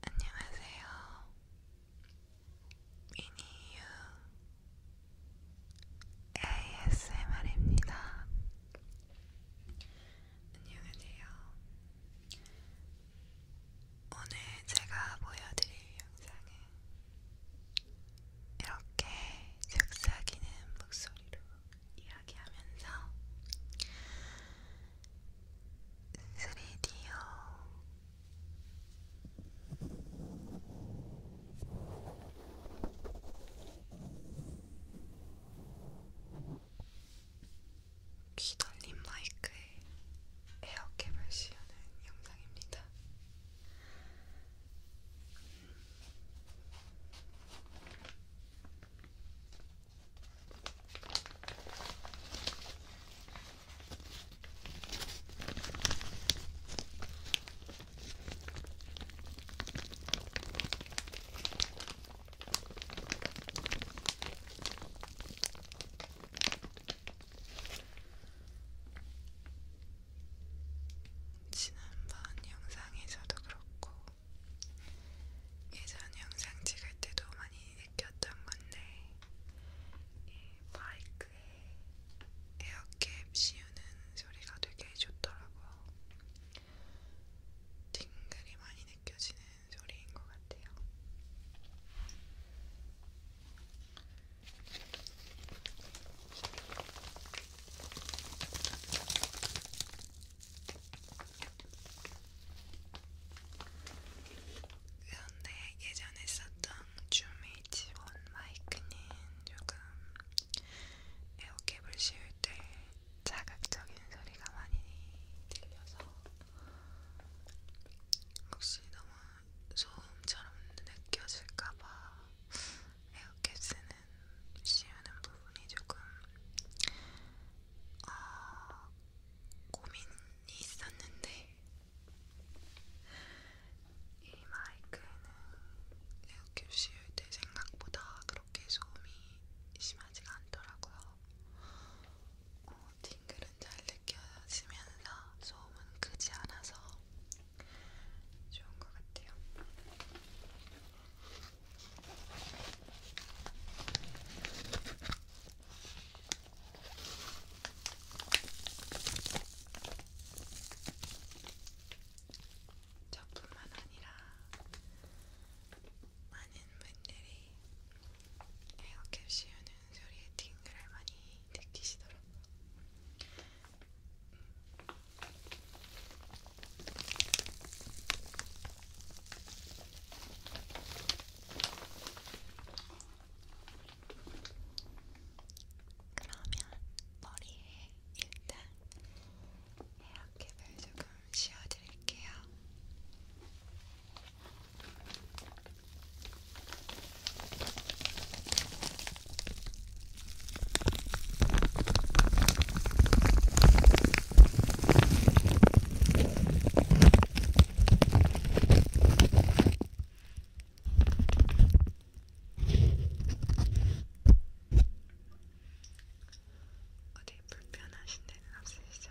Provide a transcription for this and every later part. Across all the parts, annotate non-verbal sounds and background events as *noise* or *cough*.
안녕하세요. 미니유 ASMR입니다. 안녕하세요. 오늘 제가 보여드릴 영상은 이렇게 즉사기는 목소리로 이야기하면서 3D요. 귀돌림 마이크에 에어캡을 씌우는 영상입니다. 지난번 영상에서도 그렇고 예전 영상 찍을 때도 많이 느꼈던 건데 이 마이크에 에어캡 씌우는 소리가 되게 좋더라고요. 팅글이 많이 느껴지는 소리인 것 같아요. 그런데 예전에 썼던 줌의 지원 마이크는 조금 에어캡을 씌울 때 자극적인 소리가 많이 들려서 혹시 너무 소음처럼 느껴질까봐 에어캡 쓰는 씌우는 부분이 조금 어, 고민이 있었는데 이 마이크는 이렇게 쉬울 때 생각보다 그렇게 소음이 심하지가 않더라고요. 어, 팅글은 잘 느껴지면서 소음은 크지 않아서 좋은 것 같아요. 저뿐만 아니라 많은 분들이 에어캡 씌우는 소리에 팅글을 많이 느끼시더라고요. 그러면 머리에 일단 헤어캡을 조금 씌워드릴게요. 어디 불편하신 데는 없으시죠?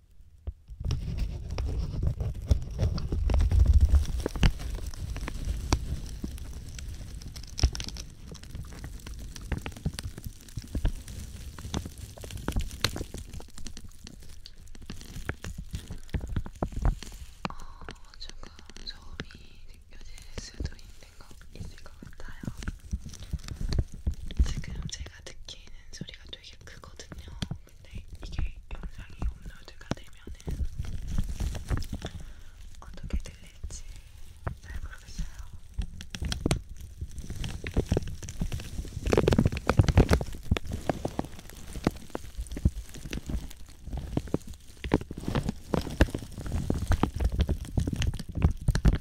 어, 조금 소음이 느껴질 수도 있는 거 있을 것 같아요. 지금 제 제가 느끼는 소리가 되게 크거든요. 근데 이게 영상이 업로드가 되면은 어떻게 들릴지 잘 모르겠어요.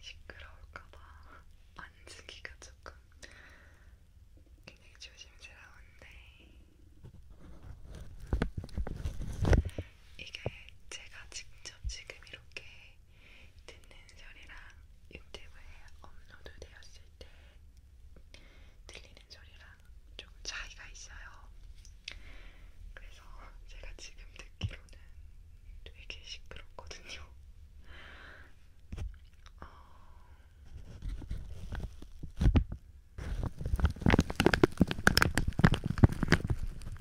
시끄러울까봐 만지기가 조금 굉장히 조심스러운데 이게 제가 직접 지금 이렇게 듣는 소리랑 유튜브에 업로드 되었을 때 들리는 소리랑 조금 차이가 있어요. 그래서 제가 지금 듣기로는 되게 시끄럽거든요. 어...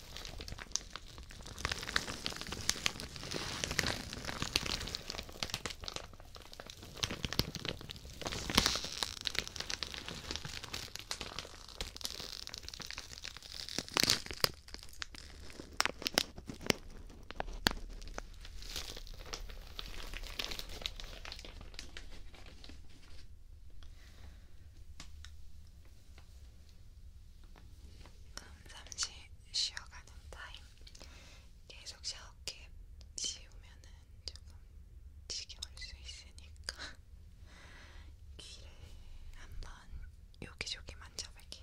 그럼 잠시 쉬어가는 타임 계속 샤워캡 씌우면은 조금 지겨울 수 있으니까 *laughs* 귀를 한번 여기저기 만져볼게요.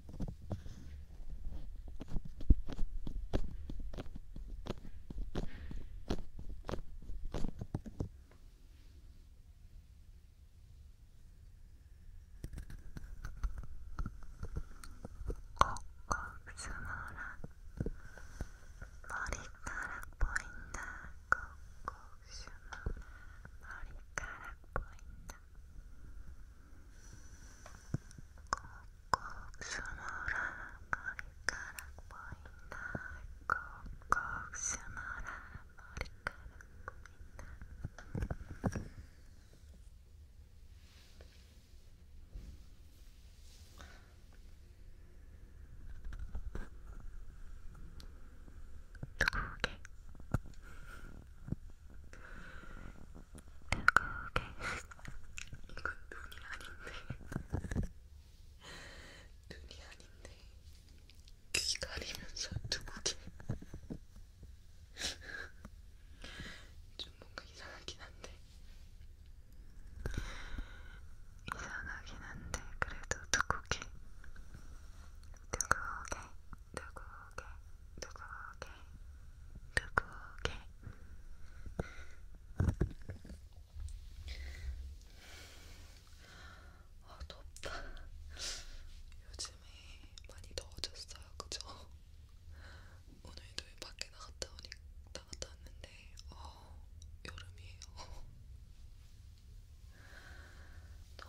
꼭꼭 숨어라 머리카락 보인다 꼭꼭 숨어라 머리카락 보인다 꼭꼭 숨어라 머리카락 보인다 꼭꼭 숨어라 머리카락 보인다 두개 이건 눈이 아닌데 눈이 아닌데 귀 가리면서 두고개 좀 뭔가 이상하긴 한데 이상하긴 한데 그래도 두고개 두고개 두고개 두고개 그게 아 덥다. 요즘에 많이 더워졌어요, 그죠? 오늘도 밖에 나갔다 오니 나갔다 왔는데 어 여름이에요. 또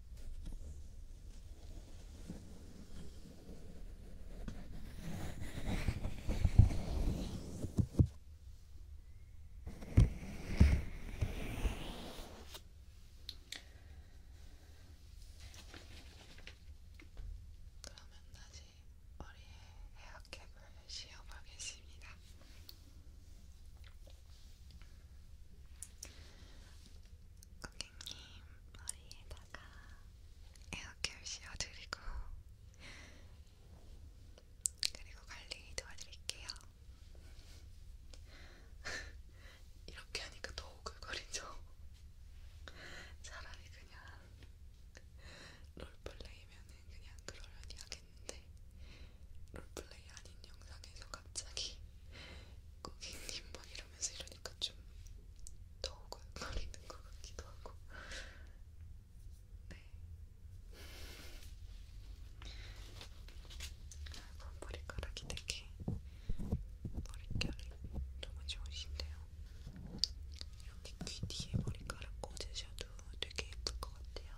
그러면 다시 머리에 헤어캡을 씌워보겠습니다. 고객님 머리에다가 에어케어 씌워드리고 그리고 관리 도와드릴게요. *laughs* 이렇게 하니까 더 오글거리죠? *laughs* 차라리 그냥 롤플레이면은 그냥 그러려니 하겠는데 롤플레이 아닌 영상에서 갑자기 *laughs* 고객님 머리를 하면서 이러니까 좀더 오글거리는 것 같기도 하고 네 그럼 머리카락이 되게 머릿결이 너무 좋으신데요 이렇게 귀 뒤에 머리카락 꽂으셔도 되게 예쁠 것 같아요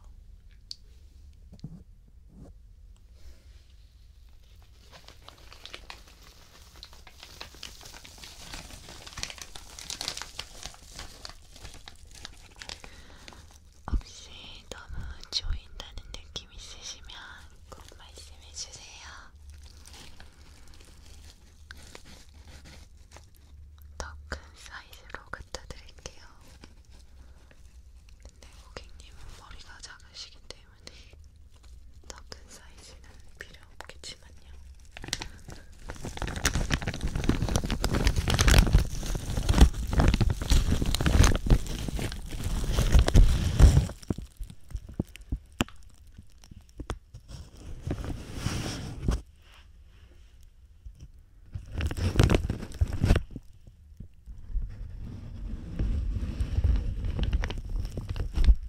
혹시 너무 조인다는 느낌 있으시면 꼭 말씀해 주세요. 더 큰 사이즈로 갖다 드릴게요. 근데 고객님은 머리가 작으시기 때문에 때문에 네. 더큰 사이즈는 필요 없겠지만요.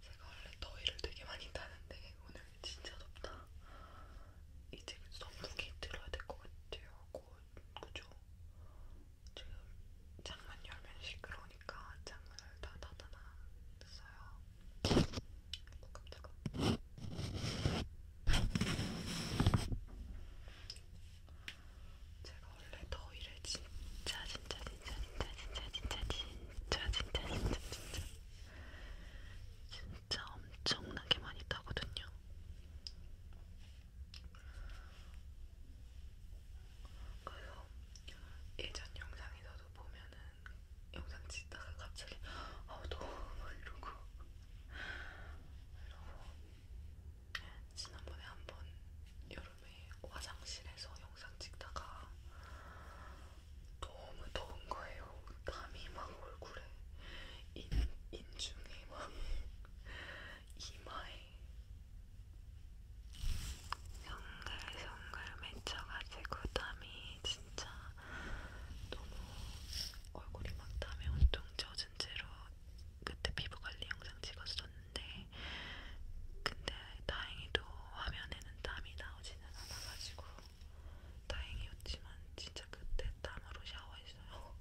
제가 원래 더위를 되게 많이 타는데 오늘 진짜 덥다. 이제 선풍기 들어야 될 것 같아요. 곧 그죠? 지금 창문 열면 시끄러우니까 창문을 다 닫아놔 놨어요. 깜짝아. 제가 원래 더위를 진짜 진짜 진짜 진짜 진짜 진짜 진짜 진짜 진짜 진짜 진짜 엄청나게 많이 타거든요. 그래서 예전 영상에서도 보면은 영상 찍다가 갑자기 아우 더워 이러고 이러고 네, 지난번에 한번 여름에 화장실에서 영상 찍다가 너무 더운 거예요. 땀이 막 얼굴에 인, 인중에 막 *laughs* 이마에 성글성글 맺혀가지고 땀이 진짜 너무 얼굴이 막 땀에 온통 젖은 채로 그때 피부관리 영상 찍었었는데 근데 다행히도 화면에는 땀이 나오지는 않아가지고 다행이었지만 진짜 그때 땀으로 샤워했어요.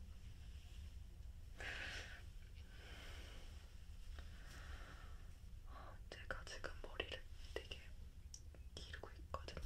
*laughs* 제가 지금 머리를 되게 기르고 있거든요.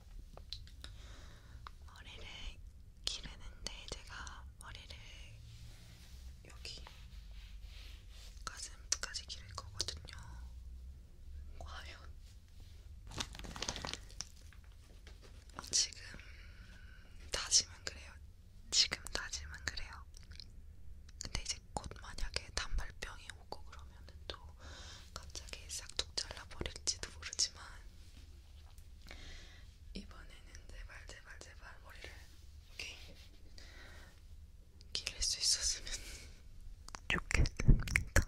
머리를 기르는데 제가 머리를 여기 가슴까지 기를 거거든요. 과연 어, 지금 다짐은 그래요. 지금 다짐은 그래요. 근데 이제 곧 만약에 단발병이 오고 그러면 하면은 또 갑자기 싹둑 잘라버릴지도 모르지만 이번에는 제발 제발 제발 머리를 이렇게 기를 수 있었으면 *laughs* 좋겠습니다.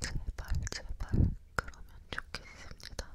제발 제발 그러면 좋겠습니다.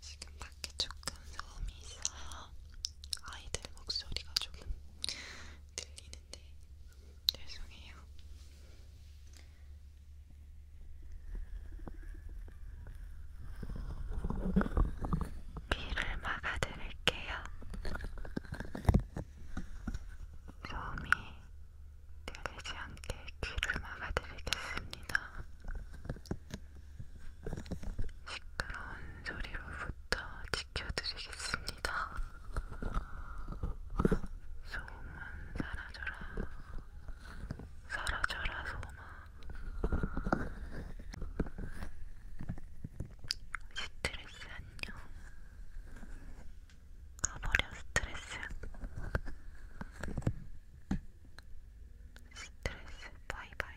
지금 밖에 조금 소음이 있어요. 아이들 목소리가 조금 들리는데 죄송해요. 귀를 막아드릴게요. 소음이 들리지 않게 귀를 막아드리겠습니다. 시끄러운 소리로부터 지켜드리겠습니다. 소음은 사라져라. 사라져라, 소음아. 스트레스 안녕. 그런 어려운 스트레스 스트레스 바이바이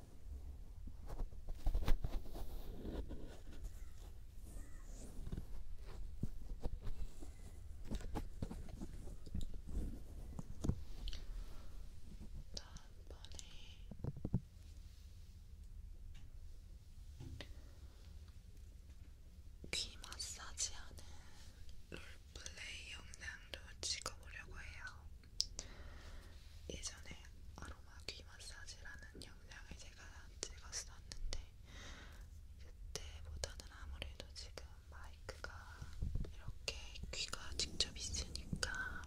다음번에 귀 마사지하는 롤플레이 영상도 찍어보려고 해요. 예전에 아로마 귀 마사지라는 영상을 제가 찍었었는데 그때보다는 아무래도 지금 마이크가 이렇게 귀가 직접 있으니까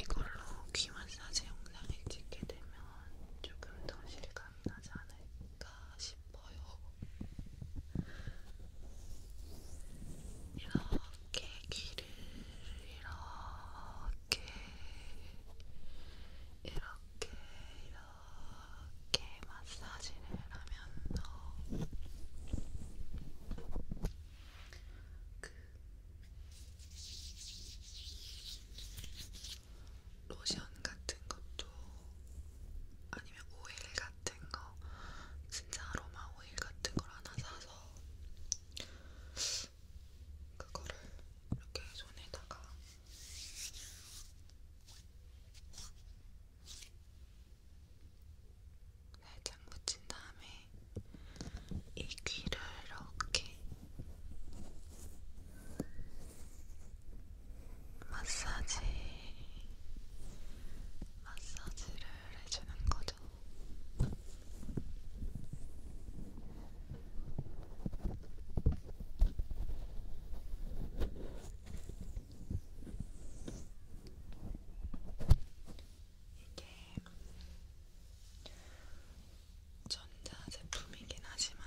이걸로 귀 마사지 영상을 찍게 되면 조금 더 실감이 나지 않을까 싶어요. 이런 이렇게 귀를 이렇게 이렇게 이렇게 마사지를 하면서 그 로션 같은 것도 아니면 오일 같은 거 진짜 아로마 오일 같은 걸 하나 사서 그거를 이렇게 손에다가 살짝 묻힌 다음에 이 귀를 이렇게 마사지 마사지를 해주는 거죠. 이게 전자 제품이긴 하지만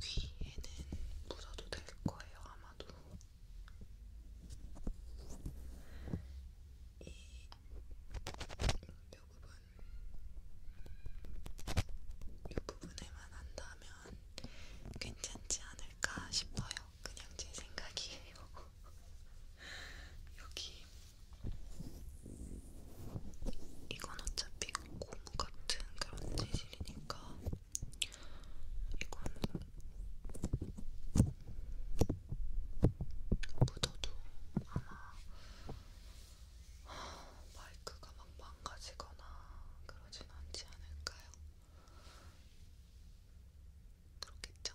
귀에는 묻어도 될 거예요, 아마도. 이 부분 이 부분에만 한다면 괜찮지 않을까 싶어요. 그냥 제 생각이에요. *laughs* 여기 이건 어차피 고무 같은 그런 재질이니까 이거는 묻어도 아마 마이크가 막 망가지거나 그러진 않지 않을까요? 그렇겠죠?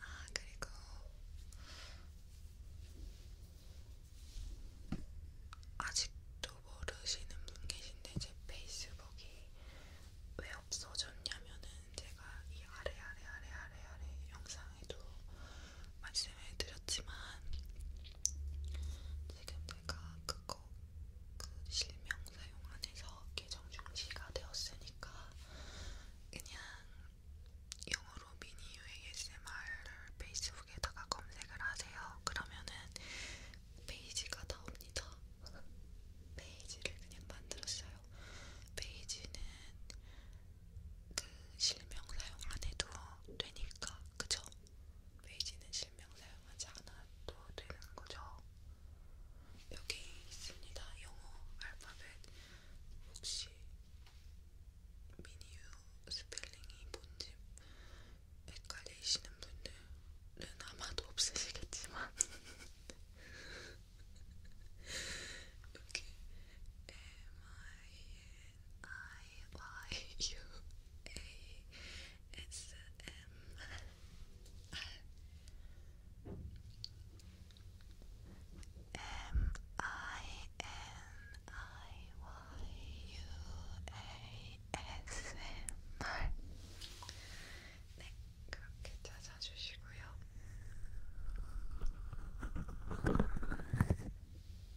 아, 그리고 아직도 모르시는 분 계신데 제 페이스북이 왜 없어졌냐면은 제가 이 아래 아래 아래 아래 아래 영상 영상에도 말씀을 드렸지만 지금 내가 그거 그 실명 사용 안에서 계정 중지가 되었으니까 그냥 영어로 미니유 ASMR을 페이스북에다가 검색을 하세요. 그러면은 페이지가 나옵니다. *laughs* 페이지를 그냥 만들었어요. 페이지는 그 실명 사용 안 해도 되니까 그죠? 베이지는 실명 사용하지 않아도 되는 거죠. 여기 있습니다. 영어 알파벳 혹시 미니유 스펠링이 뭔지 헷갈리시는 분들은 아마도 없으시겠지만 *laughs* 여기 M I I Y U A S M. M I N I Y U A S M. 네, 그렇게 찾아주시고요.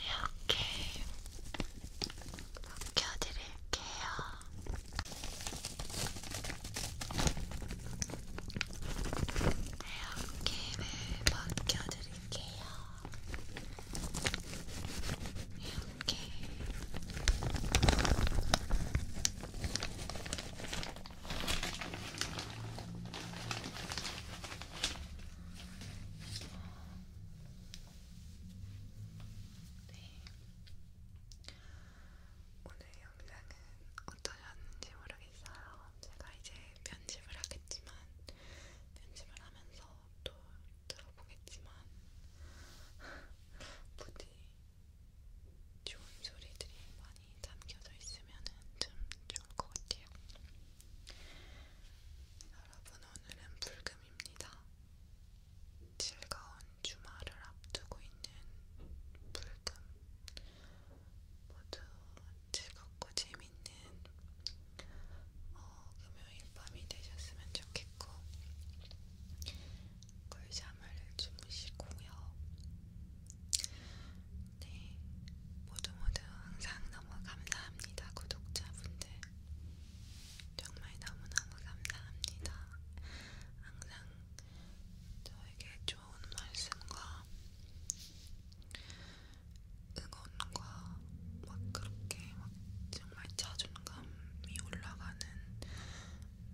이렇게 껴드릴게요. 이렇게 를 벗겨드릴게요. 이렇게 네. 오늘 영상은 어떠셨는지 모르겠어요. 제가 이제 편집을 하겠지만 편집을 하면서 또 들어보겠지만 부디 좋은 소리들이 많이 담겨져 있으면 좀 좋을 것 같아요. 여러분 오늘은 불금입니다. 즐거운 주말을 앞두고 있는 불금 모두 즐겁고 재밌는 어, 금요일 밤이 되셨으면 좋겠고 꿀잠을 주무시고요. 네, 모두 모두 항상 너무 감사합니다, 구독자분들. 정말 너무너무 감사합니다. 항상 저에게 좋은 말씀과 응원과 막 그렇게 막 정말 자존감이 올라가는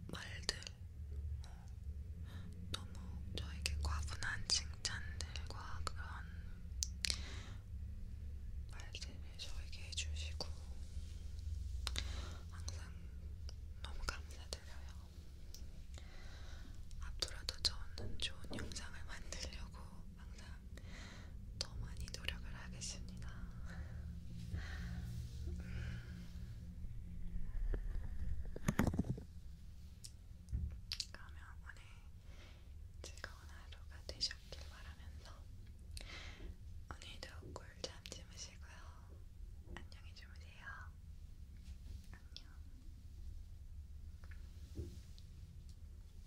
말들 어, 너무 저에게 과분한 칭찬들과 그런 말들을 저에게 해주시고 항상 너무 감사드려요. 앞으로도 저는 좋은 영상을 만들려고 항상 더 많이 노력을 하겠습니다. 그러면 오늘 즐거운 하루가 되셨길 바라면서 오늘도 꿀잠 주무시고요. 안녕히 주무세요. 안녕.